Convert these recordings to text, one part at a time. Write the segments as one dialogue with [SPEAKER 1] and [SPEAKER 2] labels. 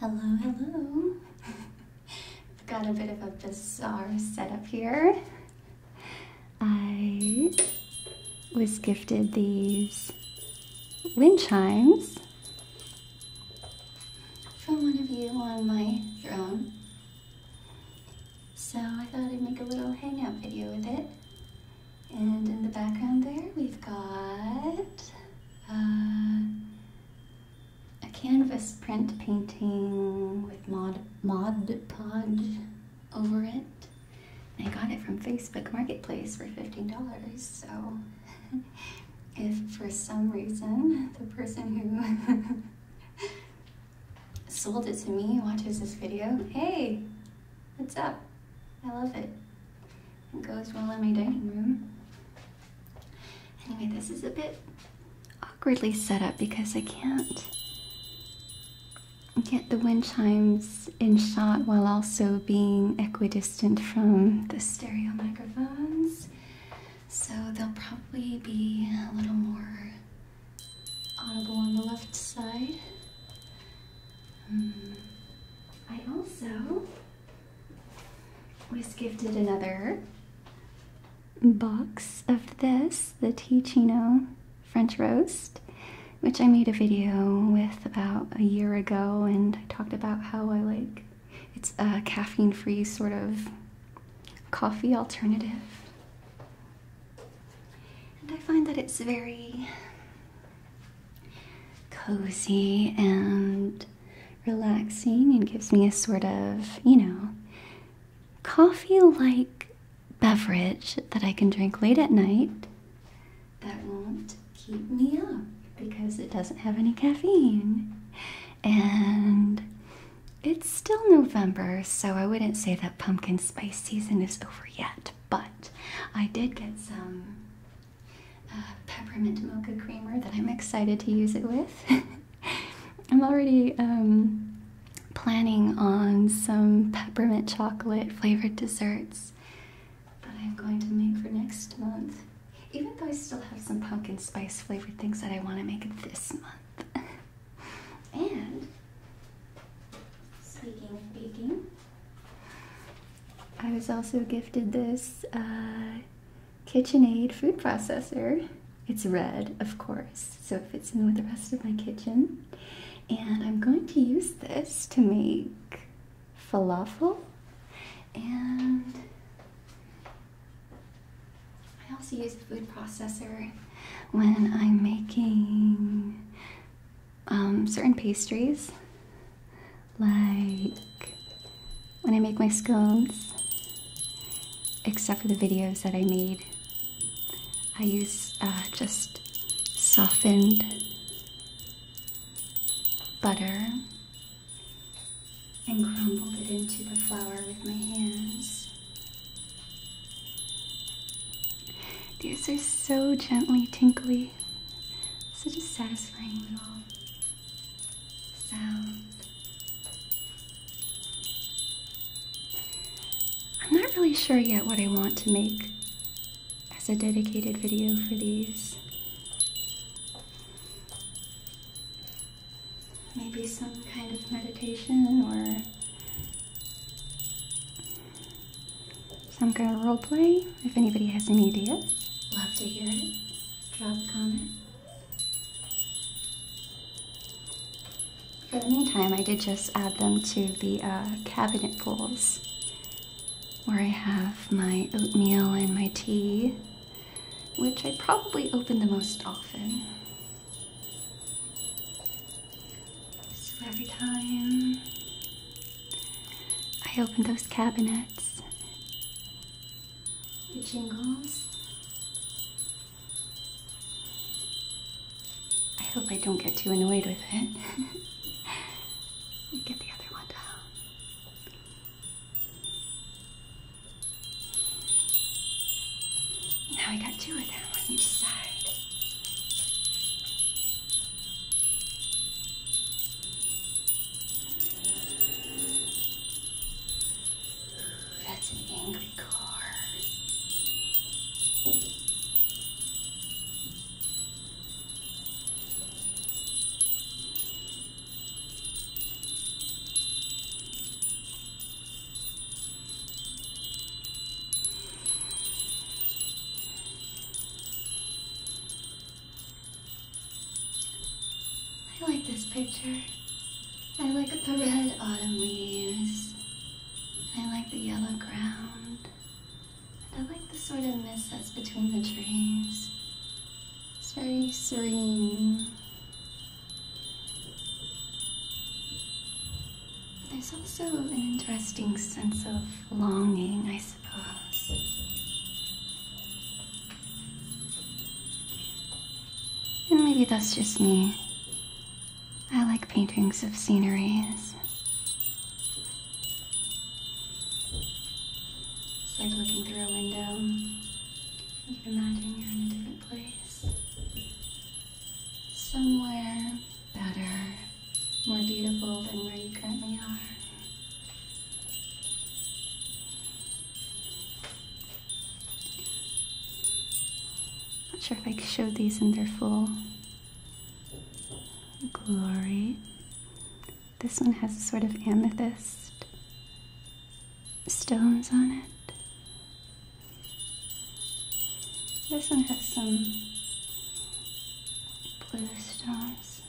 [SPEAKER 1] Hello, hello. I've got a bit of a bizarre setup here. I was gifted these wind chimes from one of you on my throne, So I thought I'd make a little hangout video with it. And in the background there, we've got uh, a canvas print painting with Mod, Mod Podge over it. I got it from Facebook Marketplace for $15, so if for some reason the person who sold it to me watches this video, hey, what's up? I love it. It goes well in my dining room. Anyway, this is a bit awkwardly set up because I can't get the wind chimes in shot while also being equidistant from the stereo microphones. So they'll probably be a little more audible on the left side. Um, I also was gifted another box of this, the Ticino French Roast which I made a video with about a year ago, and I talked about how I like it's a caffeine free sort of coffee alternative. And I find that it's very cozy and relaxing and gives me a sort of, you know, coffee like beverage that I can drink late at night that won't keep me up because it doesn't have any caffeine. And it's still November, so I wouldn't say that pumpkin spice season is over yet, but I did get some uh, peppermint mocha creamer that I'm excited to use it with. I'm already um, planning on some peppermint chocolate flavored desserts that I'm going to make for next month. Even though I still have some pumpkin spice flavored things that I want to make this month. and speaking of baking, I was also gifted this uh, KitchenAid food processor. It's red, of course, so it fits in with the rest of my kitchen. And I'm going to use this to make falafel, and I also use a food processor when I'm making um, certain pastries, like when I make my scones, except for the videos that I made. I use uh, just softened butter and crumbled it into the flour with my hands. These are so gently tinkly, such a satisfying little sound. I'm not really sure yet what I want to make as a dedicated video for these. Maybe some kind of meditation or some kind of roleplay. If anybody has any ideas, love to hear it. Drop a comment. For the meantime, I did just add them to the uh, cabinet pulls where I have my oatmeal and my tea, which I probably open the most often. So every time I open those cabinets, it jingles. I hope I don't get too annoyed with it. get the other one down. Now I got two of them on each side. That's an angry car. I like this picture. I like the red autumn leaves. I like the yellow ground. I like the sort of mist that's between the trees. It's very serene. There's also an interesting sense of longing, I suppose. And maybe that's just me. I like paintings of sceneries. It's like looking through a window. You can imagine you're in a different place. Somewhere better, more beautiful than where you currently are. Not sure if I could show these in their full glory. This one has a sort of amethyst stones on it. This one has some blue stars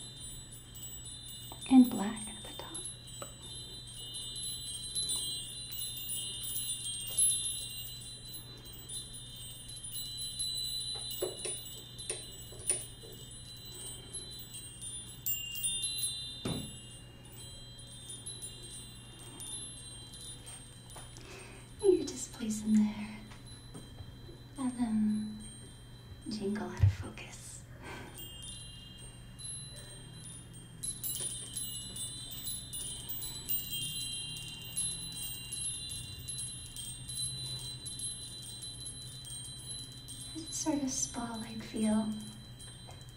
[SPEAKER 1] and black at the top. You're just placing there. And then jingle out of focus. There's sort of spotlight feel.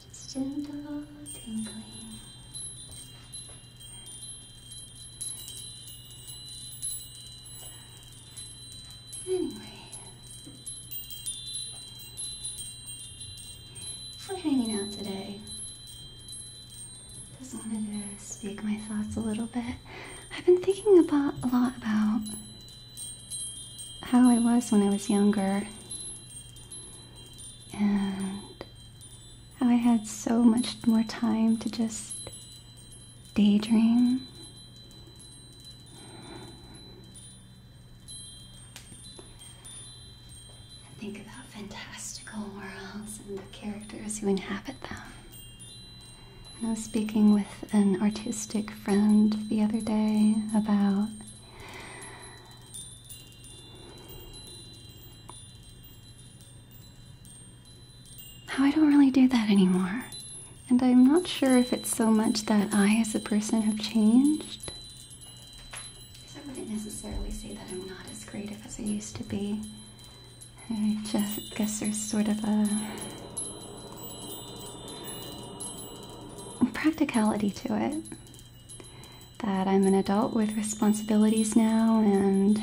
[SPEAKER 1] It's gentle tingling. Anyway. We're hanging out today. Just wanted to speak my thoughts a little bit. I've been thinking about a lot about how I was when I was younger and how I had so much more time to just daydream and think about fantastical worlds and the characters who inhabit them. I was speaking with an artistic friend the other day about how I don't really do that anymore. And I'm not sure if it's so much that I, as a person, have changed. Because I wouldn't necessarily say that I'm not as creative as I used to be. I just guess there's sort of a practicality to it. That I'm an adult with responsibilities now, and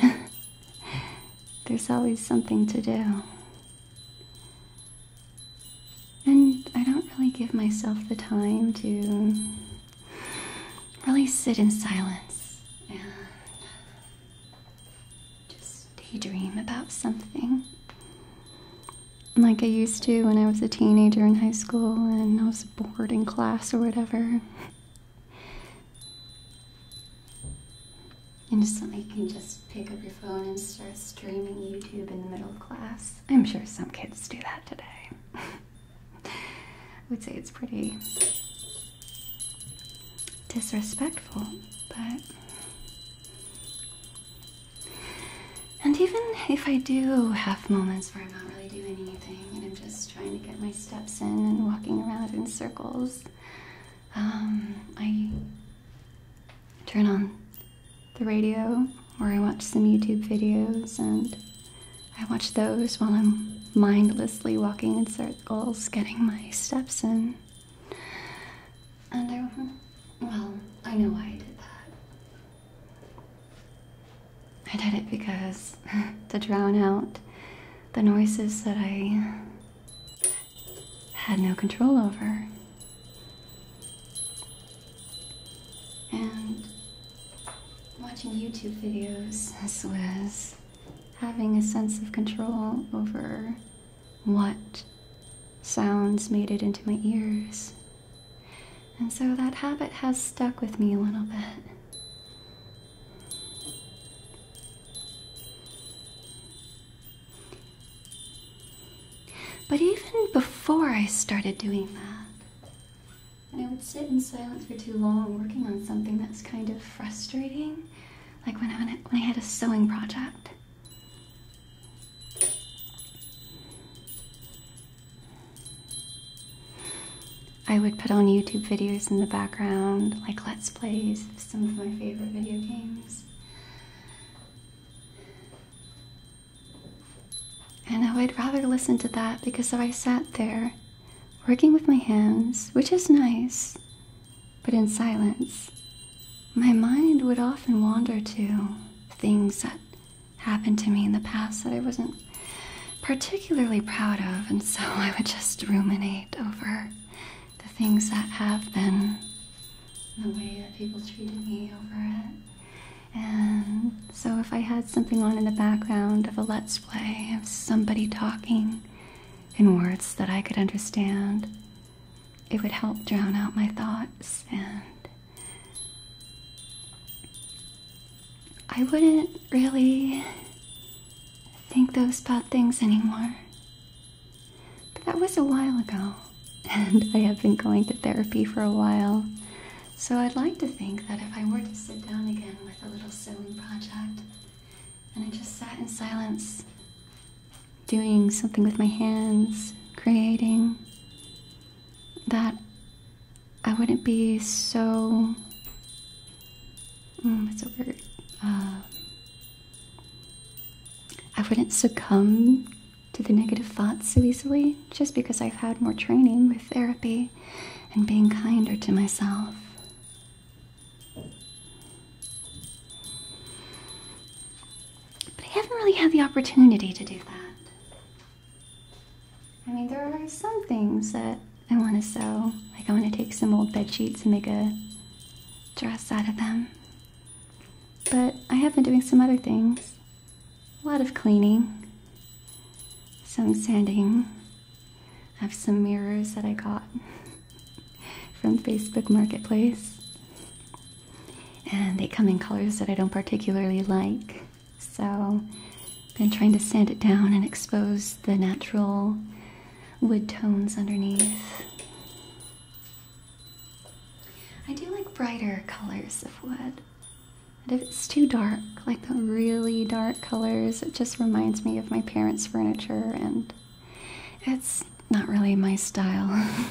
[SPEAKER 1] there's always something to do. And I don't really give myself the time to really sit in silence and just daydream about something. Like I used to when I was a teenager in high school and I was bored in class or whatever. And just something you can just pick up your phone and start streaming YouTube in the middle of class. I'm sure some kids do that today. I would say it's pretty disrespectful, but. And even if I do have moments where I'm not really doing anything and I'm just trying to get my steps in and walking around in circles, um, I turn on the radio or I watch some YouTube videos and I watch those while I'm mindlessly walking in circles, getting my steps in. And I, well, I know why I did that. I did it because to drown out the noises that I had no control over. And Watching YouTube videos, as well as having a sense of control over what sounds made it into my ears. And so that habit has stuck with me a little bit. But even before I started doing that, and I would sit in silence for too long working on something that's kind of frustrating. Like when I, when I had a sewing project. I would put on YouTube videos in the background, like Let's Plays of some of my favorite video games. And I would rather listen to that because if I sat there working with my hands, which is nice, but in silence, my mind would often wander to things that happened to me in the past that I wasn't particularly proud of, and so I would just ruminate over the things that have been, the way that people treated me over it. And so, if I had something on in the background of a let's play of somebody talking in words that I could understand, it would help drown out my thoughts, and I wouldn't really think those bad things anymore. But that was a while ago, and I have been going to therapy for a while. So I'd like to think that if I were to sit down again with a little sewing project and I just sat in silence doing something with my hands, creating, that I wouldn't be so. Mm, a word. Uh, I wouldn't succumb to the negative thoughts so easily just because I've had more training with therapy and being kinder to myself. But I haven't really had the opportunity to do that. I mean, there are some things that I want to sew. Like, I want to take some old bed sheets and make a dress out of them. But I have been doing some other things a lot of cleaning, some sanding. I have some mirrors that I got from Facebook Marketplace. And they come in colors that I don't particularly like. So I've been trying to sand it down and expose the natural wood tones underneath. I do like brighter colors of wood if it's too dark, like the really dark colors, it just reminds me of my parents' furniture and it's not really my style.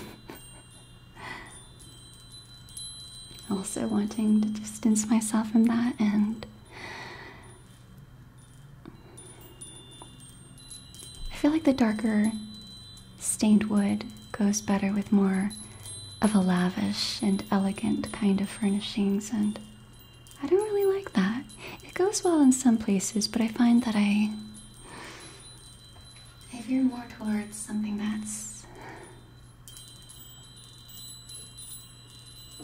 [SPEAKER 1] also wanting to distance myself from that and I feel like the darker stained wood goes better with more of a lavish and elegant kind of furnishings, and I don't really like that. It goes well in some places, but I find that I. I veer more towards something that's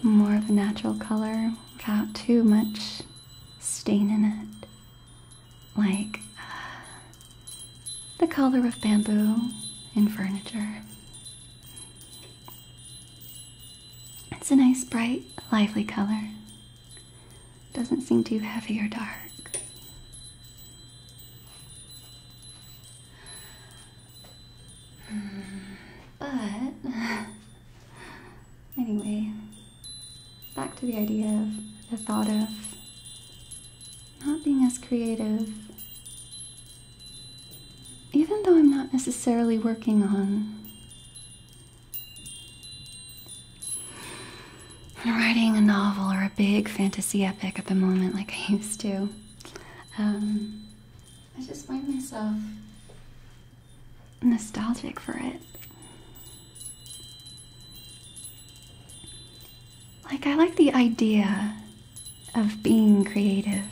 [SPEAKER 1] more of a natural color without too much stain in it. Like uh, the color of bamboo in furniture. It's a nice, bright, lively color. Doesn't seem too heavy or dark. Hmm, but, anyway, back to the idea of the thought of not being as creative. Even though I'm not necessarily working on writing a novel or a big fantasy epic at the moment like I used to, um, I just find myself nostalgic for it. Like, I like the idea of being creative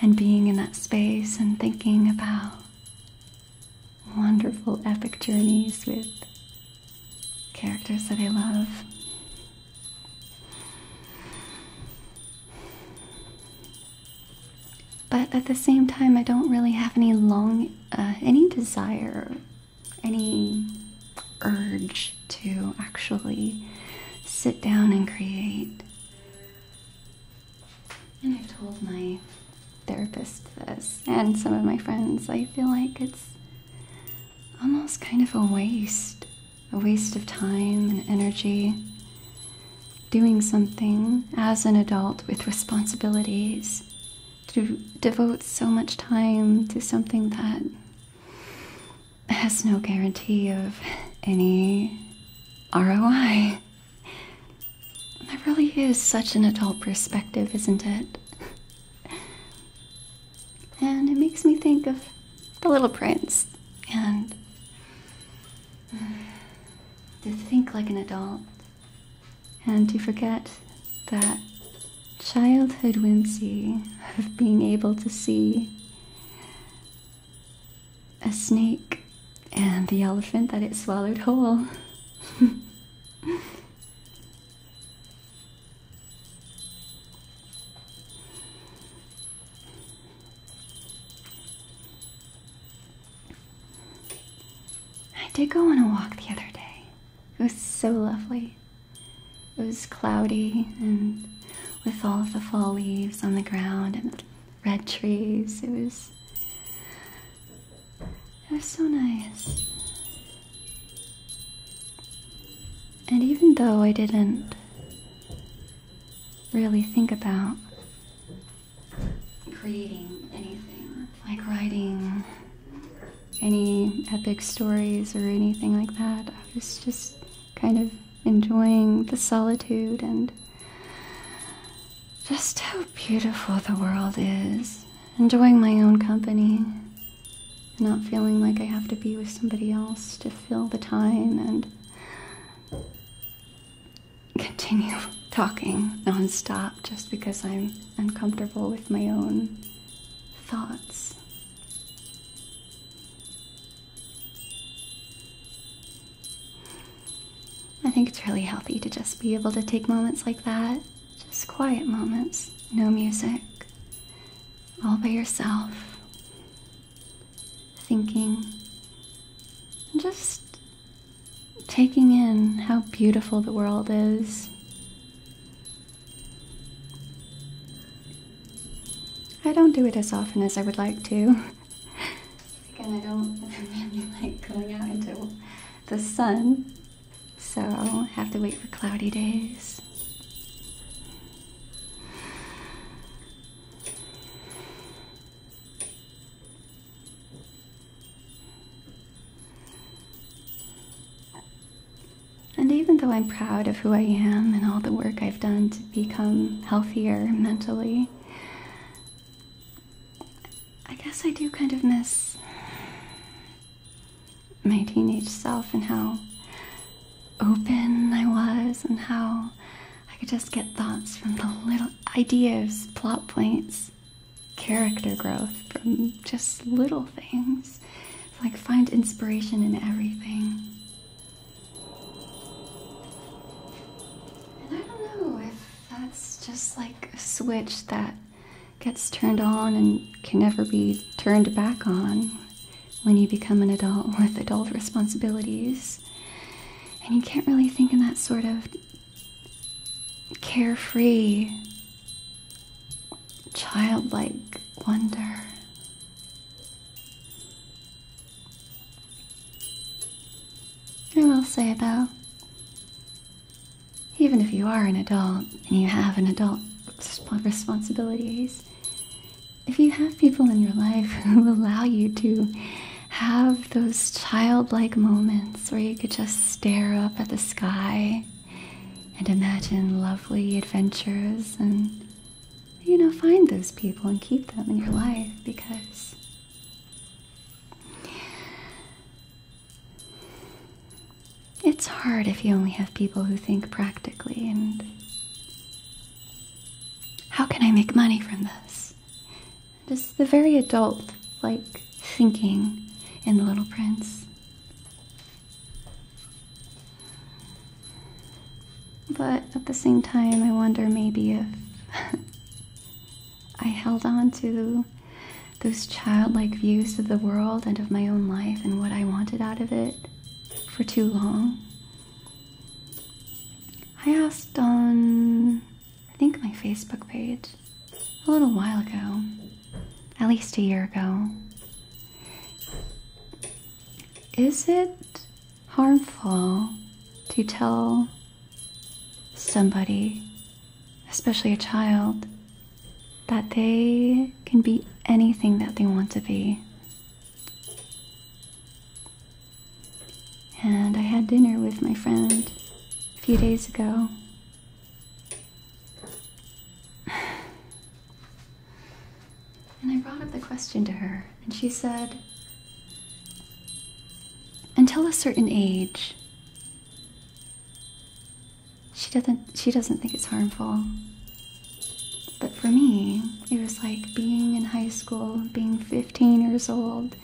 [SPEAKER 1] and being in that space and thinking about wonderful epic journeys with characters that I love. But at the same time, I don't really have any long, uh, any desire any urge to actually sit down and create. And I've told my therapist this and some of my friends. I feel like it's almost kind of a waste, a waste of time and energy doing something as an adult with responsibilities to devote so much time to something that has no guarantee of any ROI. That really is such an adult perspective, isn't it? And it makes me think of The Little Prince and mm, to think like an adult and to forget that childhood whimsy of being able to see a snake and the elephant that it swallowed whole. I did go on a walk the other day. It was so lovely. It was cloudy and with all of the fall leaves on the ground and red trees. It was it was so nice. And even though I didn't really think about creating anything like writing any epic stories or anything like that. I was just kind of enjoying the solitude and just how beautiful the world is. Enjoying my own company, not feeling like I have to be with somebody else to fill the time and continue talking nonstop just because I'm uncomfortable with my own thoughts. I think it's really healthy to just be able to take moments like that, just quiet moments, no music, all by yourself, thinking, just taking in how beautiful the world is. I don't do it as often as I would like to. Again, I don't really like going out into the sun, so I have to wait for cloudy days. And even though I'm proud of who I am and all the work I've done to become healthier mentally, I guess I do kind of miss my teenage self and how open I was and how I could just get thoughts from the little ideas, plot points, character growth from just little things things. Like, find inspiration in everything. And I don't know if that's just like a switch that gets turned on and can never be turned back on when you become an adult with adult responsibilities. And you can't really think in that sort of carefree childlike wonder. I will say though, even if you are an adult and you have adult responsibilities, if you have people in your life who allow you to have those childlike moments where you could just stare up at the sky and imagine lovely adventures and, you know, find those people and keep them in your life because it's hard if you only have people who think practically and how can I make money from this? Just the very adult like thinking in The Little Prince. But at the same time, I wonder maybe if I held on to those childlike views of the world and of my own life and what I wanted out of it for too long. I asked on, I think, my Facebook page a little while ago, at least a year ago. Is it harmful to tell somebody, especially a child, that they can be anything that they want to be? And I had dinner with my friend a few days ago, and I brought up the question to her, and she said, until a certain age, she doesn't she doesn't think it's harmful. But for me, it was like being in high school, being 15 years old,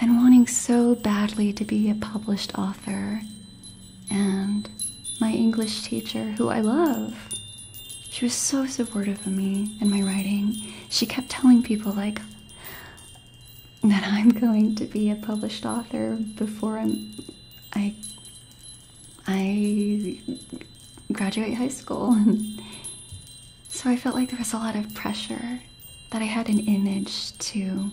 [SPEAKER 1] and wanting so badly to be a published author and my English teacher, who I love. She was so supportive of me and my writing. She kept telling people, like, that I'm going to be a published author before I'm, I, I graduate high school. so I felt like there was a lot of pressure that I had an image to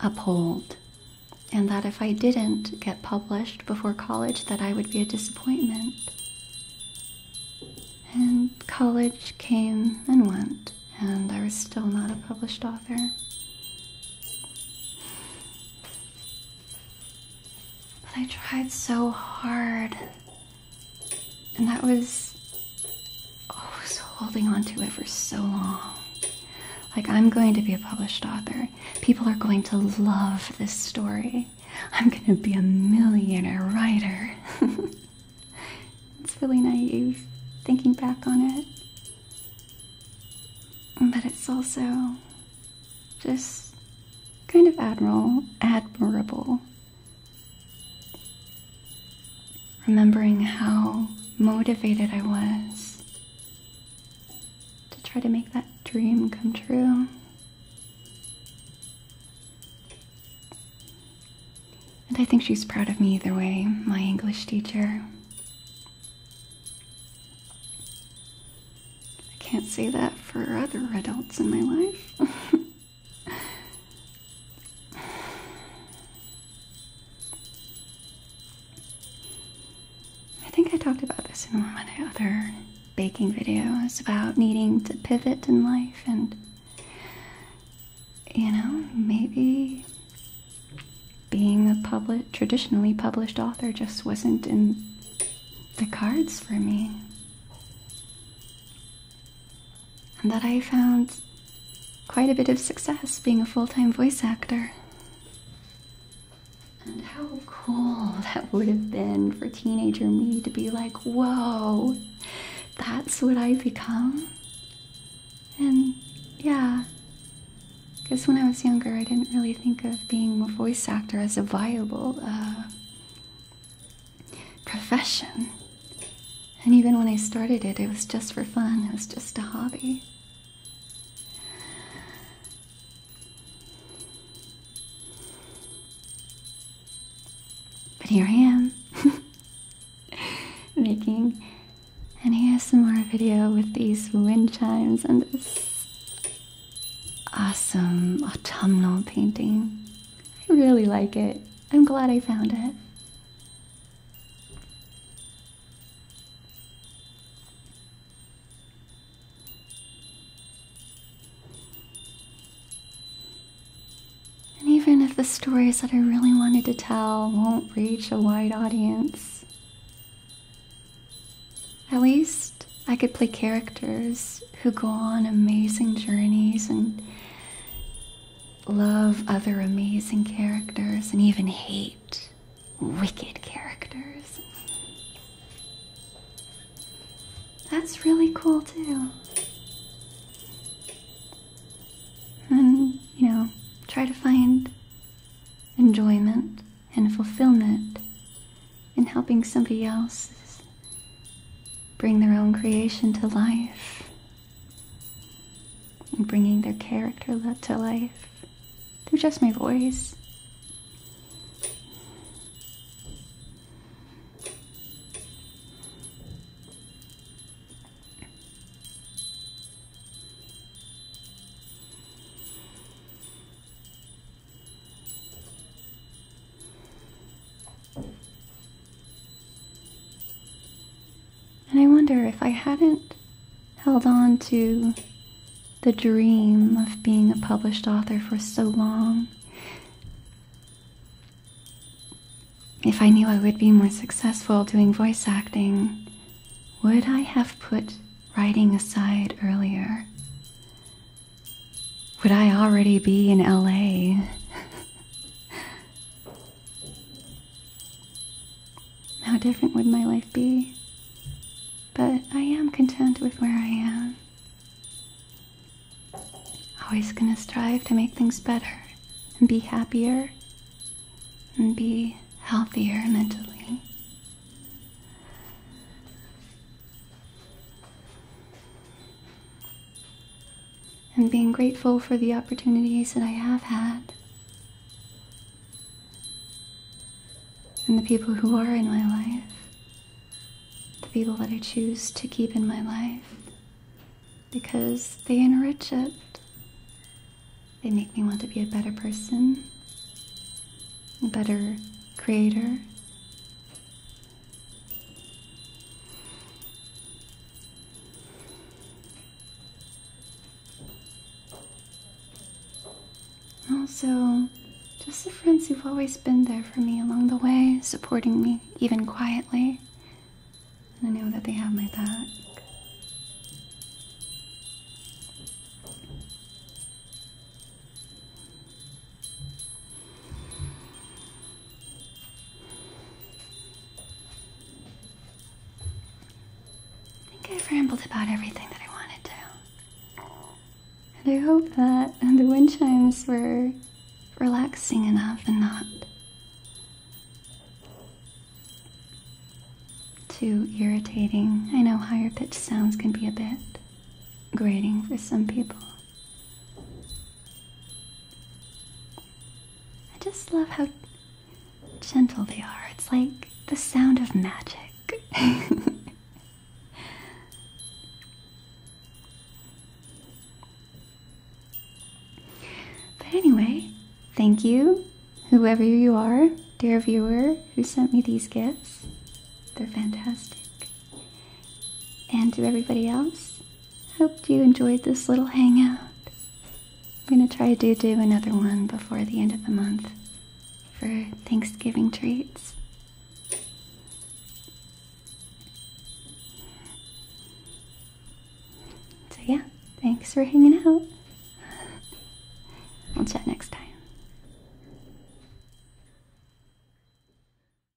[SPEAKER 1] uphold, and that if I didn't get published before college, that I would be a disappointment. And college came and went, and I was still not a published author. But I tried so hard and that was, oh, I holding on to it for so long. Like, I'm going to be a published author. People are going to love this story. I'm going to be a millionaire writer. it's really naive thinking back on it. But it's also just kind of admirable, admirable Remembering how motivated I was to try to make that dream come true. And I think she's proud of me either way, my English teacher. I can't say that for other adults in my life. I think I talked about this in one of my other baking videos about needing to pivot in life and you know, maybe being a public traditionally published author just wasn't in the cards for me and that I found quite a bit of success being a full time voice actor. And how cool that would have been for teenager me to be like, whoa, that's what I become? And yeah, because when I was younger, I didn't really think of being a voice actor as a viable uh, profession. And even when I started it, it was just for fun, it was just a hobby. But here I am, making an ASMR video with these wind chimes and this awesome autumnal painting. I really like it. I'm glad I found it. And even if the stories that I really wanted to tell won't reach a wide audience, at least I could play characters who go on amazing journeys and love other amazing characters and even hate wicked characters. That's really cool, too. And, you know, try to find enjoyment and fulfillment in helping somebody else's bring their own creation to life and bringing their character to life through just my voice. And I wonder if I hadn't held on to the dream of being a published author for so long, if I knew I would be more successful doing voice acting, would I have put writing aside earlier? would I already be in LA? How different would my life be? But I am content with where I am. Always gonna strive to make things better and be happier and be healthier mentally and being grateful for the opportunities that I have had and the people who are in my life, the people that I choose to keep in my life because they enrich it. They make me want to be a better person, a better creator, also, just the friends who've always been there for me along the way, supporting me, even quietly. I know that they have my back. I think I've rambled about everything that I wanted to. And I hope that the wind chimes were relaxing enough and not too irritating. I know higher pitched sounds can be a bit grating for some people. I just love how gentle they are. It's like the sound of magic. but anyway, thank you, whoever you are, dear viewer, who sent me these gifts. They're fantastic and to everybody else. Hope you enjoyed this little hangout. I'm gonna try to do another one before the end of the month for Thanksgiving treats. So, yeah, thanks for hanging out. We'll chat next time.